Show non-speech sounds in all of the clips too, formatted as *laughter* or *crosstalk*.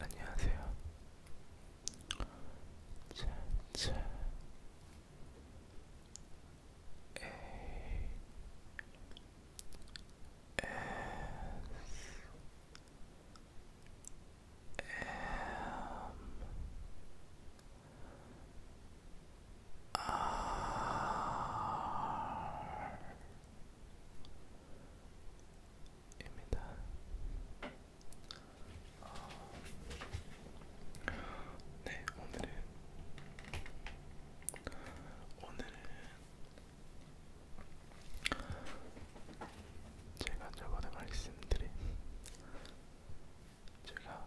안녕하세요. 차차 에이 에스 입니다. 네, 오늘은 오늘은 제가 저번에 말씀드린 제가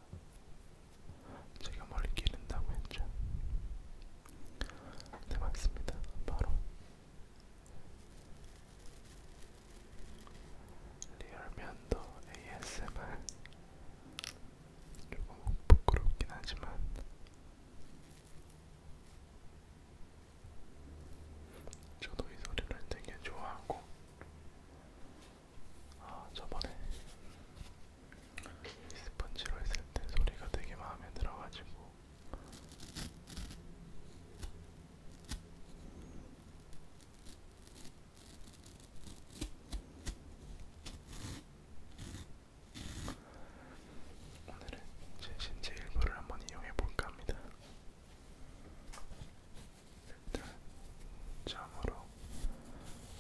제가 머리 기른다고 했죠. 네 맞습니다. 바로 리얼면도 ASMR 조금 부끄럽긴 하지만 저도 이 소리를 되게 좋아하고 아 저번에 이 스펀지로 했을 때 소리가 되게 마음에 들어가지고 오늘은 제 신체 일부를 한번 이용해 볼까 합니다. 일단 점으로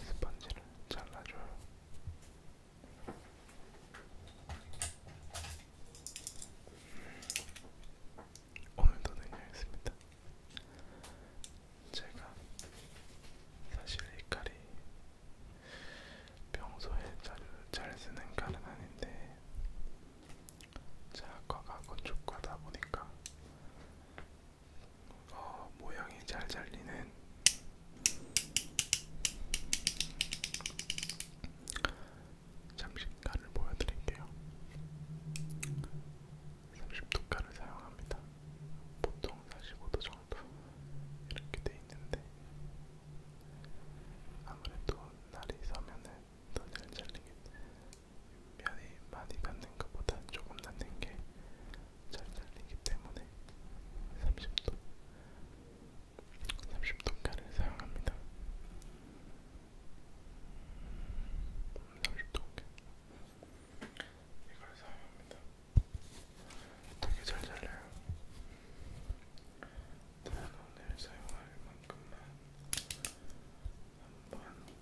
스펀지를 잘라줘요. 오늘도 능력했습니다. 제가 사실 이 칼이 평소에 자주 잘 쓰는 칼은 아닌데 제과가 건축과다 보니까 어, 모양이 잘 잘리는 잠시 간을 보여드릴게요. 30도 간을 사용합니다. 보통 45도 정도 이렇게 돼 있는데 아무래도 날이 서면은 더 잘 잘리게 면이 많이 닿는 것보다 조금 닿는 게 잘 잘리기 때문에 30도 30도 간을 사용합니다. 30도께 이걸 사용합니다. 되게 잘 잘려요. 다른 오늘 사용할 만큼만 한번 이렇게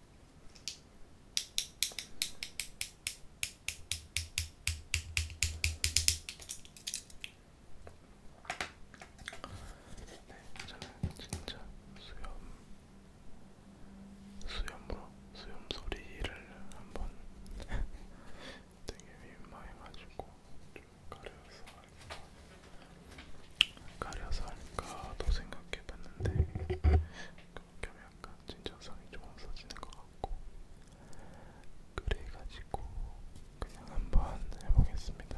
네, 저는 진짜 수염, 수염으로 수염 소리를 한번 되게 *laughs* 민망해가지고 좀 가려서 알고 가려서 할까도 생각해봤는데 그렇게 하면 약간 진정성이 좀 없어지는 것 같고 그래가지고 그냥 한번 해보겠습니다.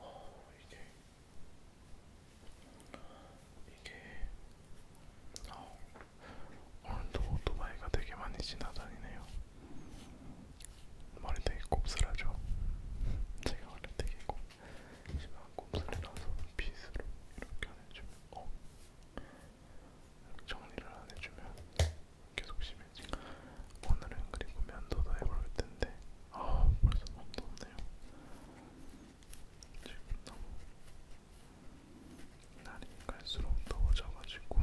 어, 이게 이게 아, 어, 오늘도 오토바이가 되게 많이 지나다니네요. 머리 되게 곱슬하죠. *laughs* 제가 원래 되게 곱 심한 곱슬이라서 빗으로 이렇게 안 해주면 어? 정리를 안 해주면 계속 심해지 오늘은 그리고 면도도 해볼 텐데 아 벌써 몸도 없네요 지금 너무 날이 갈수록 더워져가지고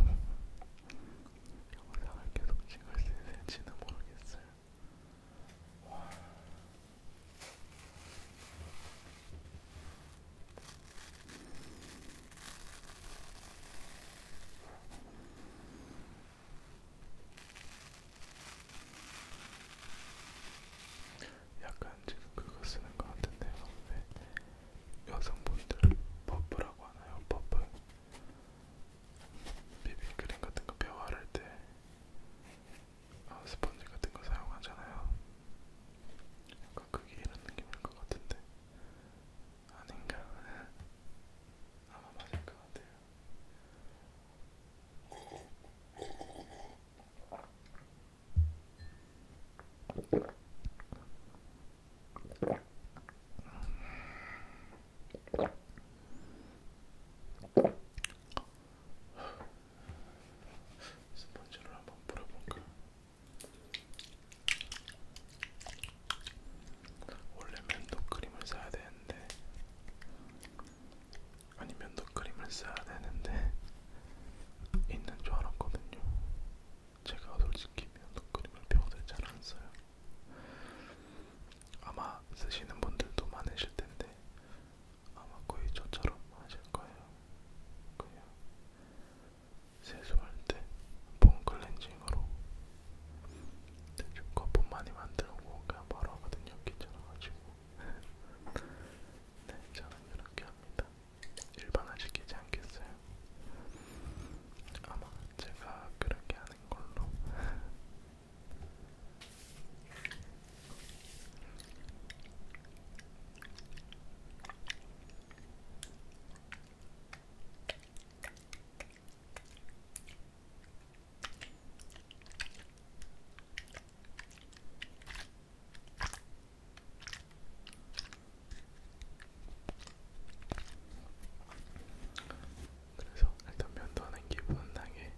영상을 계속 찍을 수 있을지는 모르겠어요 약간 지금 그거 쓰는 것 같은데요. 왜 여성분들 버프라고 하나요? 버프 비비크림 같은 거 배워할 때 아, 스펀지 같은 거 사용하잖아요. 약간 그게 이런 느낌일 것 같은데 아닌가? *laughs* 아마 맞을 것 같아요. 스펀지를 한번 뿌려볼까? 원래 면도크림을 사야 되는데 아니 면도크림을 써야 되는데 *laughs* 있는 줄 알았거든요. 제가 솔직히 면도크림을 평소에 잘안 써요. 아마 쓰시는 분들도 많으실 텐데 아마 거의 저처럼 하실 거예요. 그냥 세수할 때폼 클렌징으로 대충 거품 많이 만들고 그냥 바로 하거든요. 귀찮아가지고. *laughs* 네, 저는 이렇게 합니다. 일반화시키지 않겠어요. 아마 제가 그렇게 하는 걸로 *laughs* 그래서 일단 면도하는 기분은 나게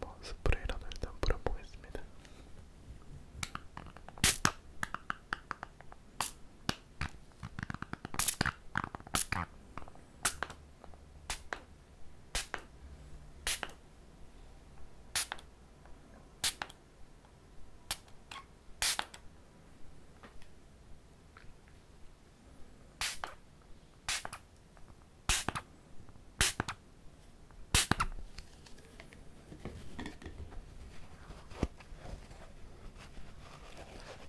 뭐 스프레이라도 일단 뿌려보겠습니다.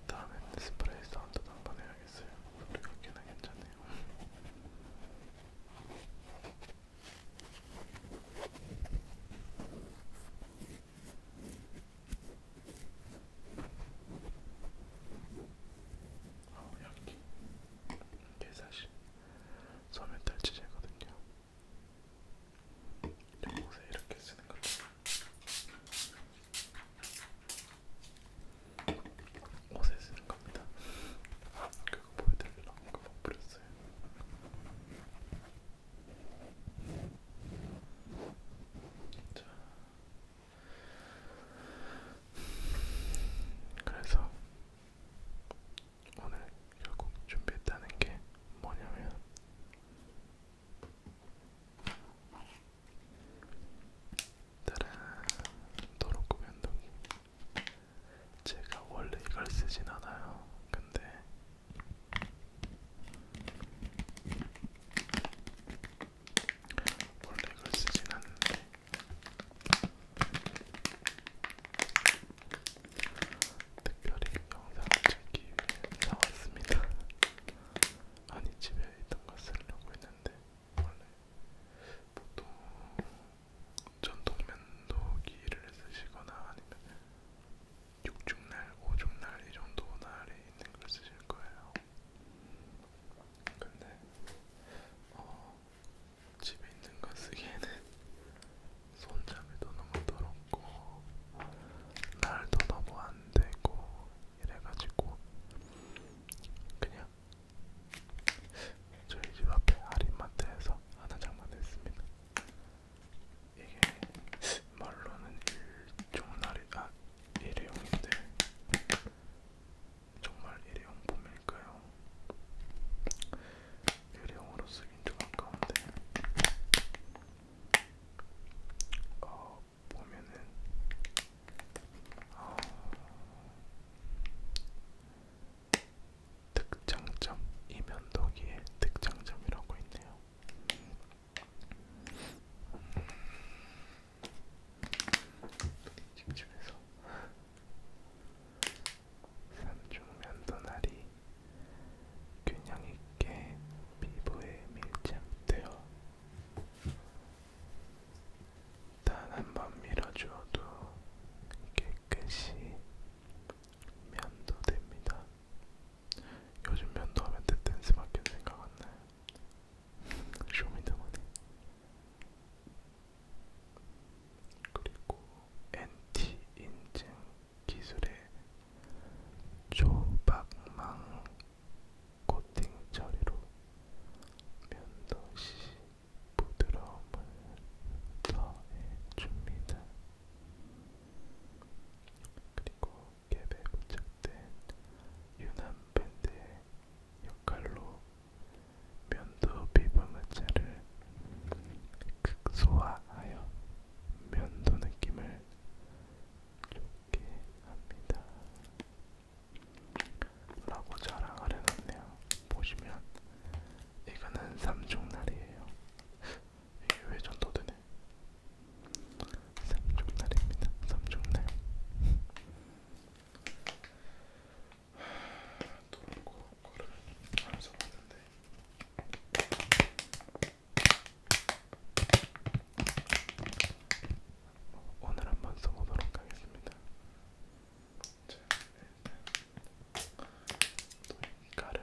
다음엔 스프레이 사운드도 한번 해야겠어요. 소리가 꽤나 괜찮네요. 아우, 약해. 이게 사실 소면 탈취제거든요. 네, 옷에 이렇게 쓰는 거죠. 옷에 쓰는 겁니다. 그거 보여드리려고 그거 뿌렸어요. 자, 그래서 오늘 결국 준비했다는 게 뭐냐면 따란 도로코 변동기 제가 원래 이걸 쓰진 않아요. 근데 원래 이걸 쓰진 않는데 특별히 영상을 찍기 위해 사왔습니다. 아니 집에 있던 거 쓰려고 했는데 원래 보통 전동면도기를 쓰시거나 아니면 6중날, 5중날 이 정도 날에 있는 걸 쓰실 거예요. 근데 어, 집에 있는 거 쓰기에는 *laughs* 손잡이도 너무 더럽고 날도 너무 안 되고 이래가지고 그냥 저희 집 앞에 할인마트에서 하나 장만했습니다. 이게 말로는 일종날이 아 일회용인데 정말 일회용 폼일까요? 일회용으로 쓰긴 좀 아까운데 어, 보면은 어, 특장점 이면도기의 특장점이라고 있네요. 음, 집집에서 산중 면도날이 균형 있게 피부에 밀착되어 단한번 밀어주어도 깨끗이 면도됩니다. 요즘 면도하면 떼댄스밖에 생각 안 나요. 쇼미더머니 그리고 NT 인증 기술의 조박망 코팅 처리로 면도시 부드러움을 더해줍니다. 그리고 갭에 부착된 유난 밴드의 역할로 면도 비브무채를 극소화하여 면도 느낌을 좋게 합니다. 라고 자랑을 해놨네요. 보시면 이거는 삼중날이에요. 이게 왜 전도되네? 삼중날입니다. 삼중날. 노란 거 거를 안 써봤는데 오늘 한번 써보도록 하겠습니다. 자, 일단 네, 네. 이 가를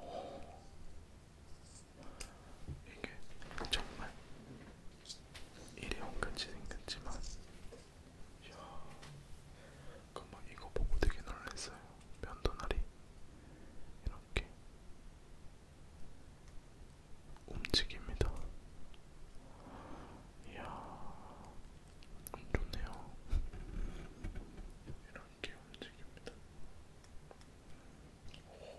오, 이게 정말 일회용같이 생겼지만 이야, 금방 이거 보고 되게 놀랐어요. 면도날이 이렇게 움직입니다. 이야, 음, 좋네요. 이렇게 움직입니다. 오.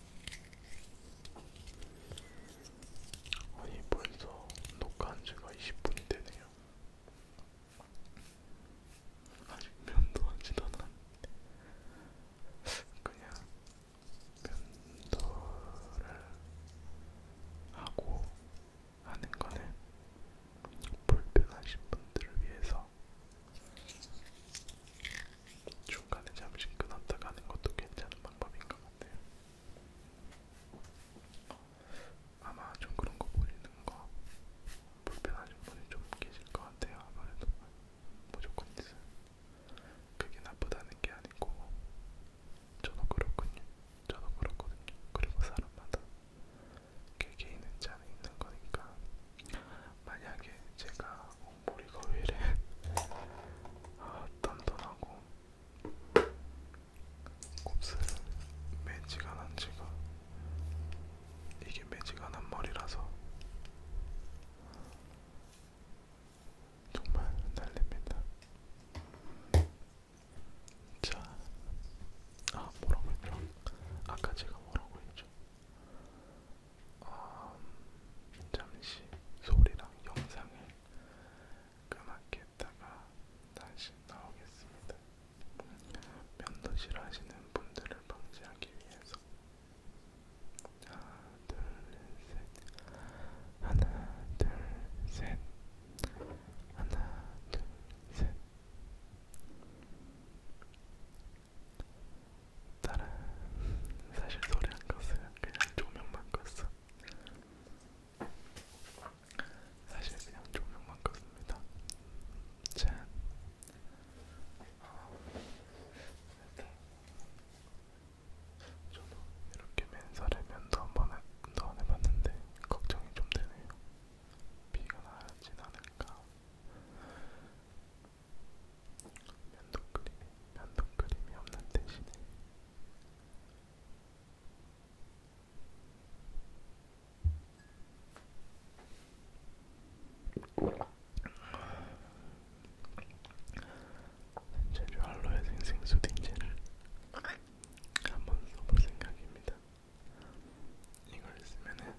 아니 벌써 녹화한 지가 20분이 되네요. 아직 면도 하지도 않았는데 그냥 면도를 하고 하는 거는 불편하신 분들을 위해서 중간에 잠시 끊었다 가는 것도 괜찮은 방법인 것 같아요. 아마 좀 그런 거 보이는 거 불편하신 분이 좀 계실 것 같아요. 아무래도 무조건 있어요. 그게 나쁘다는 게 아니고 저도 그렇군요. 저도 그렇거든요. 그리고 사람마다 개개인은 그 차는 있는 거니까 만약에 제가 머리가 왜 이래? 아, 단단하고 곱슬 매지가 난 지가 이게 매지가 난 머리라서 정말 날립니다. 자, 아 뭐라고 했죠? 아까 제가 뭐라고 했죠? 어, 잠시 소리랑 영상을 그만했다가 다시 나오겠습니다. 면도 싫어하시는 분들을 방지하기 위해서 하나 둘 셋 하나 둘 셋 하나 둘셋 나는 사실 소리 안 껐어요. 그냥 조명만 껐어. 사실 그냥 조명만 껐습니다. 짠. 저도 이렇게 맨살에 면도 한번 안 해봤는데 걱정이 좀 되네요. 비가 나진 않을까. 면도크림, 면도크림이 없는 대신에 재료 알로에 생생수 딩젤을 한번 써볼 생각입니다. 이걸 쓰면은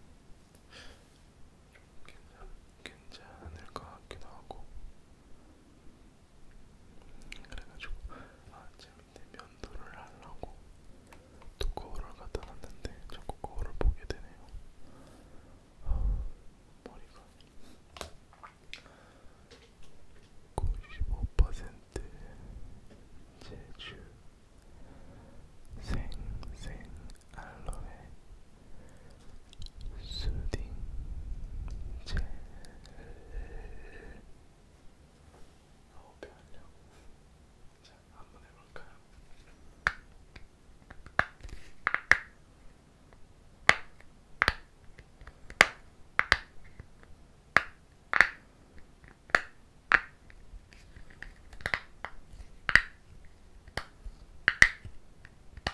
괜찮, 괜찮을 것 같기도 하고 그래가지고 아, 제 밑에 면도를 하려고 또 거울을 갖다 놨는데 자꾸 거울을 보게 되네요 아, 머리가 95% 제주 생생 알로에 수딩 젤 호흡이 어, 하려고 자, 한번 해볼까요? 자,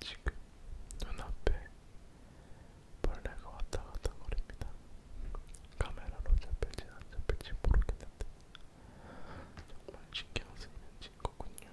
지금 눈앞에 벌레가 왔다 갔다 거립니다. 카메라로 잡힐지 안 잡힐지 모르겠는데 정말 신경 쓰이는 친구군요.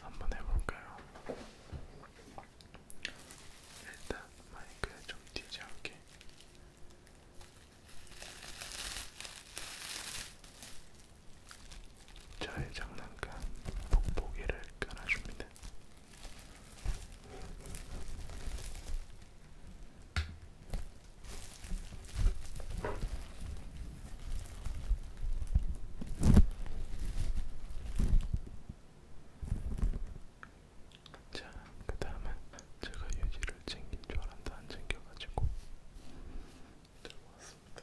한번 해볼까요? 일단 마이크에 좀 뛰지 않게. 저의 장난감 복보기를 깔아줍니다. 자, 그 다음은 제가 유지를 챙긴 줄 알았는데 안 챙겨가지고 들고 왔습니다.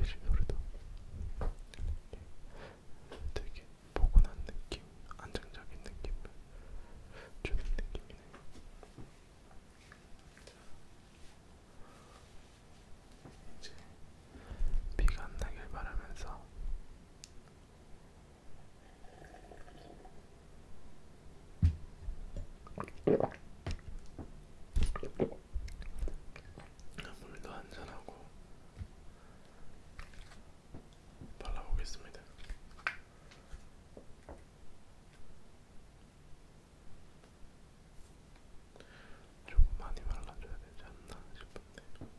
예전 노래도 되게 포근한 느낌, 안정적인 느낌 주는 느낌이네. 이제 비가 안 나길 바라면서 물도 한잔하고 발라보겠습니다. 좀 많이 발라줘야 되지 않나 싶은데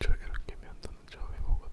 저 이렇게 면도는 처음 해보거든요.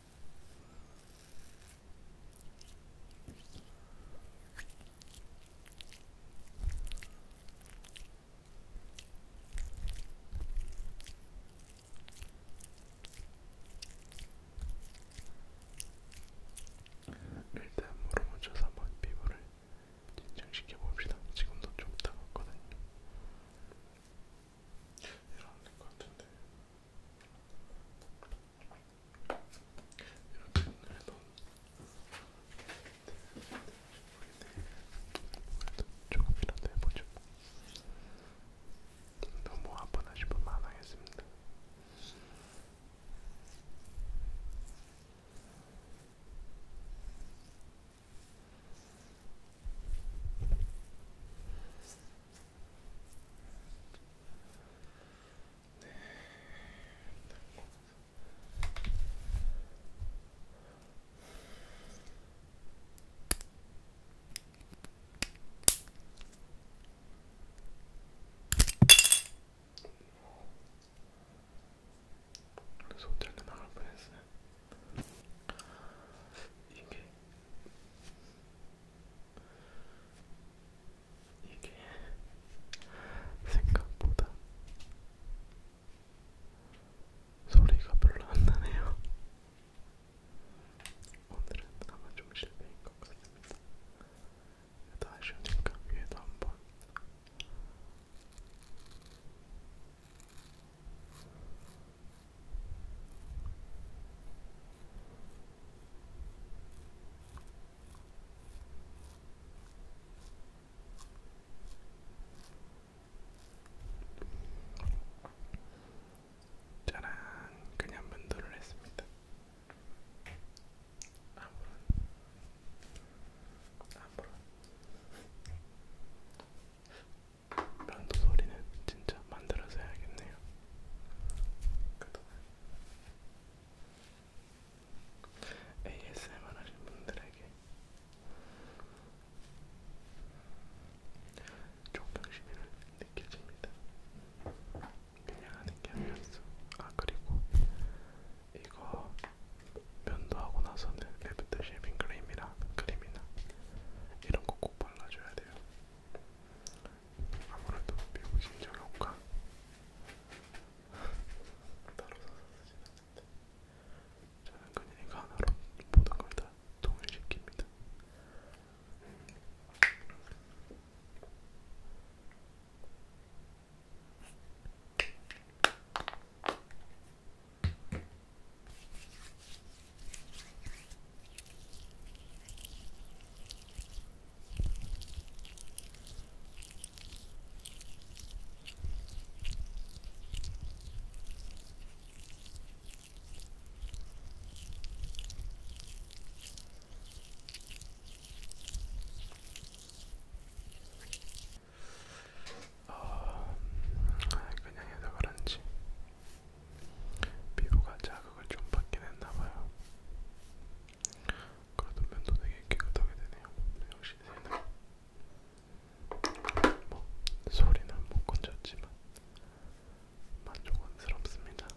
일단 물을 묻혀서 한번 피부를 진정시켜 봅시다. 지금도 좀 따갑거든요. 이런 것 같은데 조금이라도 해보죠. 너무 아프다 싶으면 안 하겠습니다. 네. 그래서 호텔도 나갈 뻔했어요. 이게 이게 생각보다 소리가 별로 안 나네요. 오늘은 아마 좀 실패인 것 같습니다. 그래도 아쉬우니까 위에도 한번 짜란 그냥 면도를 했습니다. 아무런 아무런 면도 소리는 진짜 만들어서 해야겠네요. 그동안 ASMR 하신 분들에게 존경심을 느껴집니다. 그냥 하는 게 아니었어. 아 그리고 이거 면도 하고 나서는 애프터 쉐이빙 크림이랑 크림이나 이런 거 꼭 발라줘야 돼요. 아무래도 미국 심정 효과 따로 사서 쓰진 않는데 저는 그냥 이거 하나로 모든 걸다 동일시킵니다. 어, 그냥 해서 그런지 피부가 자극을 좀 받긴 했나봐요. 그래도 면도 되게 깨끗하게 되네요. 역시 새는 뭐 소리는 못 건졌지만 만족스럽습니다.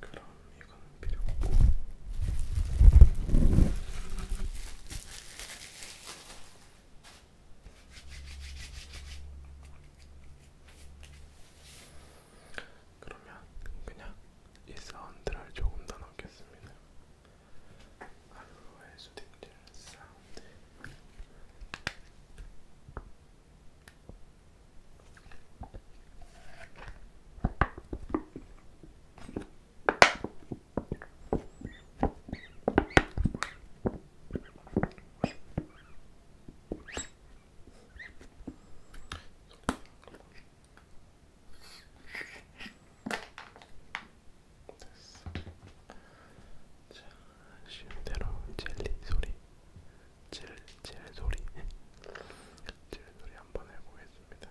그럼 이건 필요 없고. 그러면 그냥 이 사운드를 조금 더 넣겠습니다. 알로에 수딩젤 사운드. 자, 쉰대로 젤리 소리, 젤, 젤 소리, 젤 소리 한번 해보겠습니다.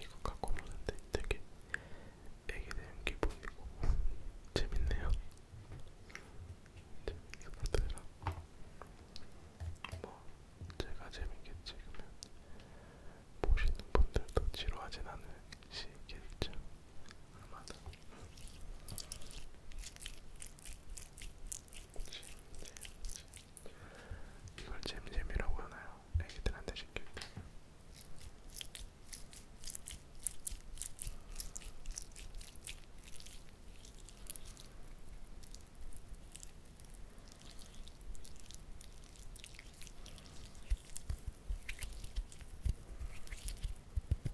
이거 갖고 오는데 되게 애기 되는 기분이고 재밌네요. 재밌게 보더라. 뭐 제가 재밌게 찍으면 보시는 분들도 지루하진 않을 시겠죠. 아마도. 이걸 잼잼이라고 하나요? 애기들한테 시킬 때.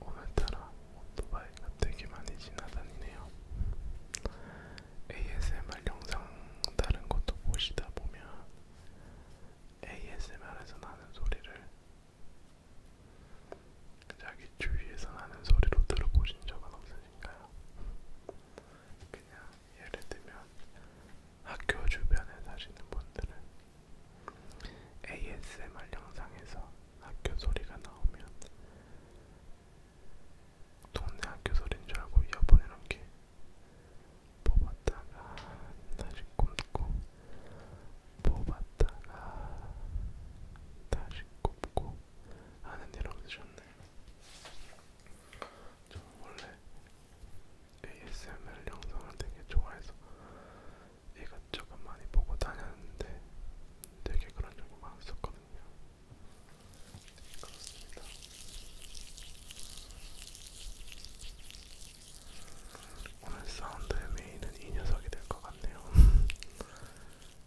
오늘따라 오토바이가 되게 많이 지나다니네요. ASMR 영상 다른 것도 보시다 보면 ASMR에서 나는 소리를 자기 주위에서 나는 소리로 들어보신 적은 없으신가요? 그냥 예를 들면 학교 주변에 사시는 분들은 ASMR 영상에서 학교 소리가 나오면 동네 학교 소리인 줄 알고 이어폰 이렇게 뽑았다가 다시 꽂고 뽑았다가 다시 꽂고 하는 일 없으셨네. 저는 원래 ASMR 영상을 되게 좋아해서 이것저것 많이 보고 다녔는데 되게 그런 적이 많았었거든요. 그렇습니다. 오늘 사운드의 메인은 이 녀석이 될 것 같네요. *laughs*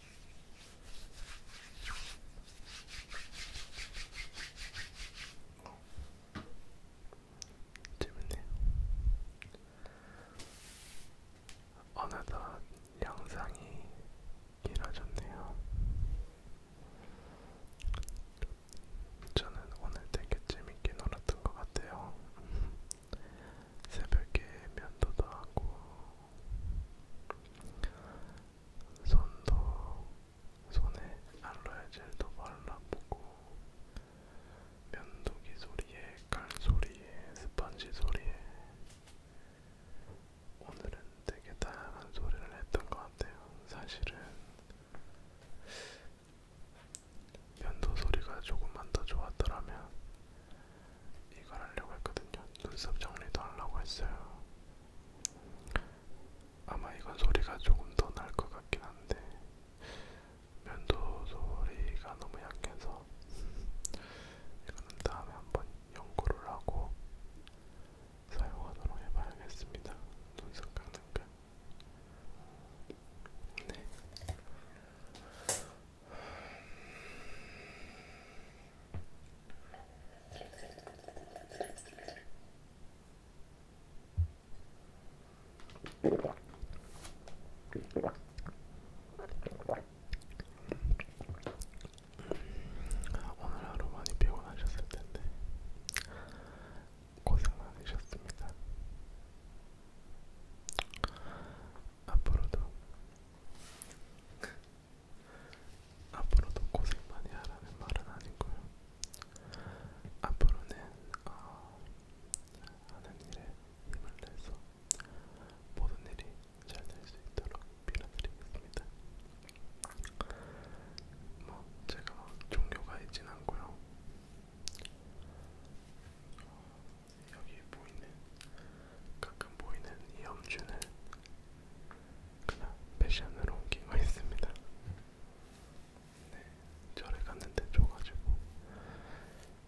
재밌네요. 어느덧 영상이 길어졌네요. 저는 오늘 되게 재밌게 놀았던 것 같아요. 새벽에 면도도 하고 손도 손에 알로에젤도 발라보고 면도기 소리에 칼 소리에 스펀지 소리에 오늘은 되게 다양한 소리를 했던 것 같아요. 사실은 면도 소리가 조금만 더 좋았더라면 이걸 하려고 했거든요. 눈썹 정리도 하려고 했어요. 아마 이건 소리가 조금 더 날 것 같긴 한데 면도 소리가 너무 약해서 *laughs* 이거는 다음에 한번 연구를 하고 사용하도록 해봐야겠습니다. 눈썹 깎는 거. 네. 오늘 하루 많이 피곤하셨을 텐데 고생 많으셨습니다. 앞으로도 앞으로도 고생 많이 하라는 말은 아니고요. 앞으로는 어, 하는 일에 힘을 내서 모든 일이 잘 될 수 있도록 빌어드리겠습니다. 뭐 제가 뭐 종교가 있진 않고요. 여기 보이는 가끔 보이는 이 염주는 그냥 패션으로 옮기고 있습니다. 네, 절에 갔는데 줘가지고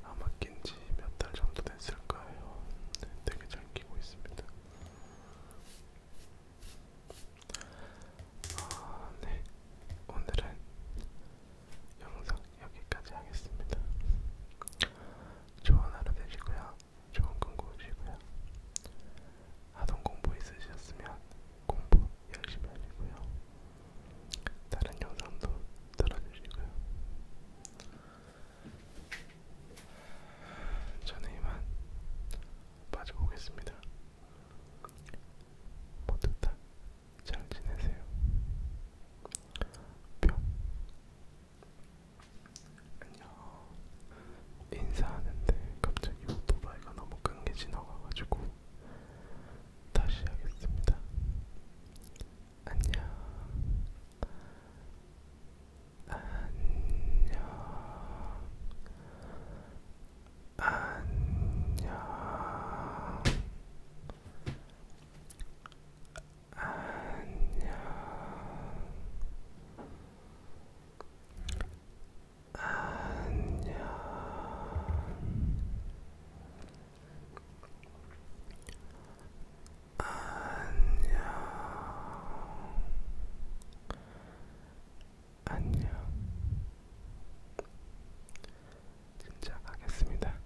아마 낀 지 몇 달 정도 됐을 거예요. 네, 되게 잘 끼고 있습니다. 아, 네, 오늘은 영상 여기까지 하겠습니다. 좋은 하루 되시고요. 좋은 꿈 꾸시고요. 아동 공부 있으셨으면 공부 열심히 하시고요. 다른 영상도 들어주시고요. 저는 이만 빠져보겠습니다. 모두 다잘 지내세요. 뿅. 안녕 인사하는데 갑자기 오토바이가 너무 큰게 지나가가지고 다시 하겠습니다. 안녕 안녕 안녕 안녕 안녕 안녕 안녕 진짜 가겠습니다.